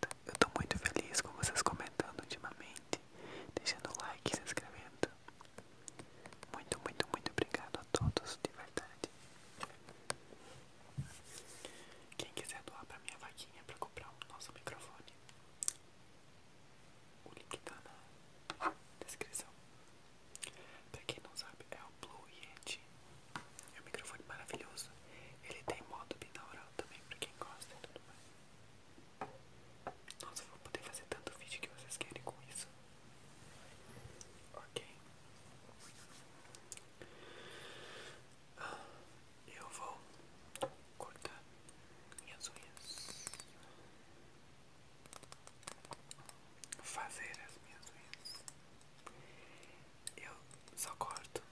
Tá, eu tô muito feliz com vocês comentando ultimamente, deixando like, se inscrevendo. Muito, muito, muito obrigado a todos, de verdade. Quem quiser doar pra minha vaquinha pra comprar o nosso microfone, o link tá na descrição. Pra quem não sabe, é o Blue Yeti. É um microfone maravilhoso. Ele tem modo binaural também pra quem gosta e tudo mais. Nossa, eu vou poder fazer tanto vídeo que vocês querem com isso. Ok. Ah, eu vou cortar minhas unhas. Fazer as minhas unhas eu só corto.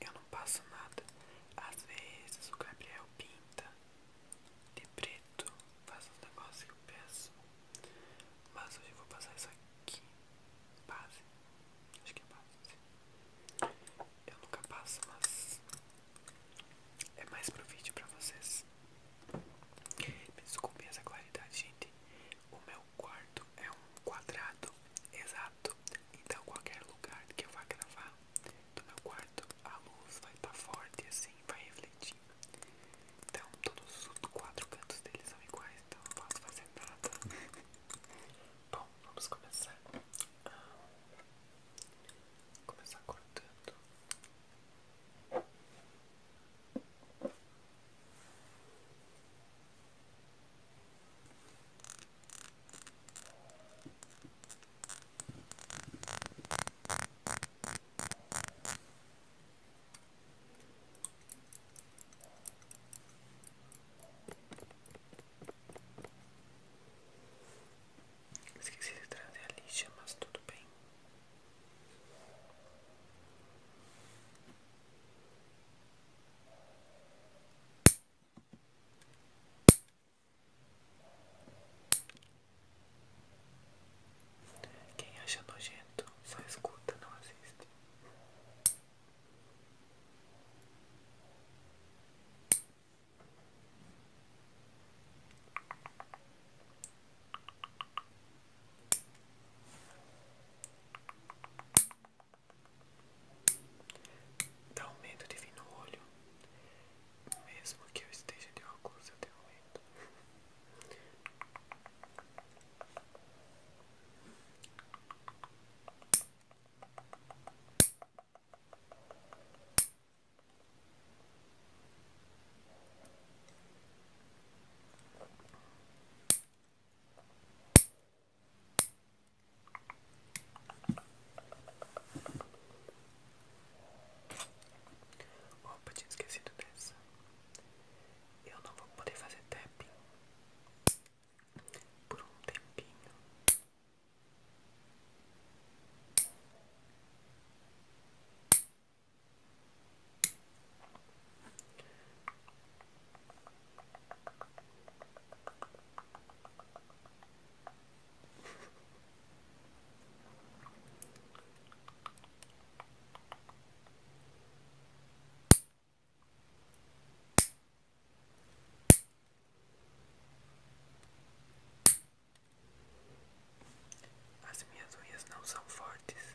eu não passo nada. Às vezes o Gabriel pinta de preto, faz os negócios que eu peço. Mas hoje eu vou passar isso aqui. Base. Acho que é base. Eu nunca passo, mas é mais pro vídeo pra vocês. Me desculpem essa claridade, gente. O meu o quarto é um quadrado exato. Então, qualquer lugar que eu vá gravar do meu quarto, a luz vai estar tá forte assim, vai refletir. Então, todos os quatro cantos deles são iguais, então não posso fazer nada. Bom, vamos começar. Ah, começar cortando. Esqueci de trazer a lixa, mas tudo bem. Quem acha nojento só escuta, não assiste. Dá um medo de vir no olho. Mesmo que eu esteja de óculos, eu tenho medo. Opa, tinha esquecido dessa. Eu não vou poder fazer tapping por um tempinho. As minhas unhas não são fortes,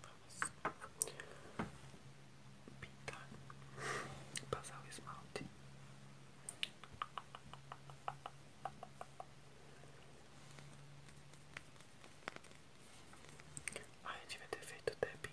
Vamos pintar, passar o esmalte. Ai, eu devia ter feito tapping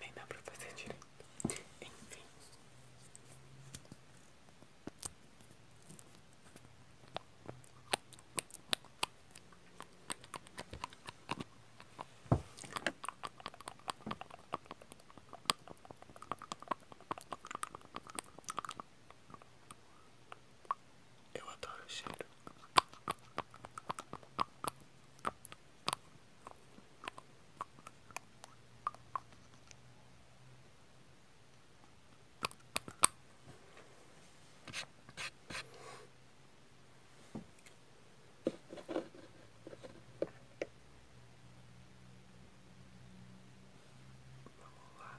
Nem dá pra fazer direito. Enfim. Eu adoro o cheiro. Vamos lá.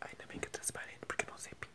Ainda bem que é transparente, porque não sei pintar.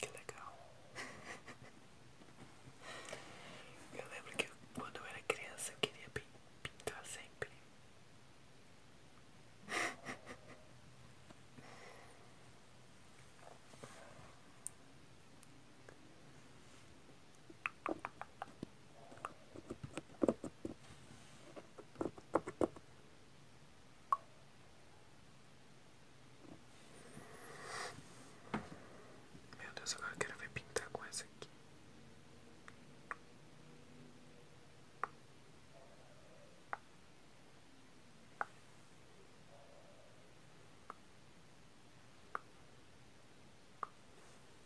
Que legal. Eu lembro que quando eu era criança eu queria pintar sempre. Meu Deus, agora quero ver pintar com essa aqui.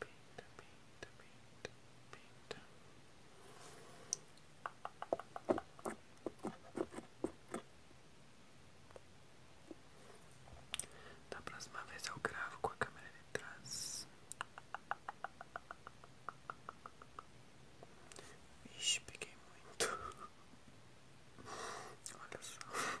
Pinta, pinta, pinta, pinta. Da próxima vez eu gravo com a câmera de trás. Ixi, peguei muito. Olha só.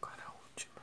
Agora a última.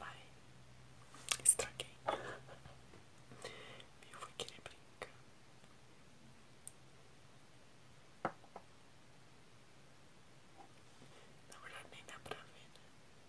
Ai, estraguei. Eu vou querer brincar. Na verdade, nem dá pra né?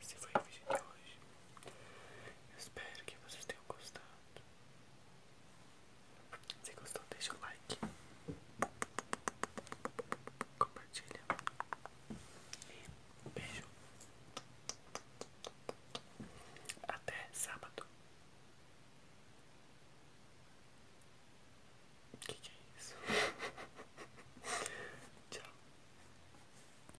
Esse foi o vídeo de hoje. espero que vocês tenham gostado. Se gostou, deixa o like. Compartilha. E beijo. Até sábado. Que que é isso? Tchau.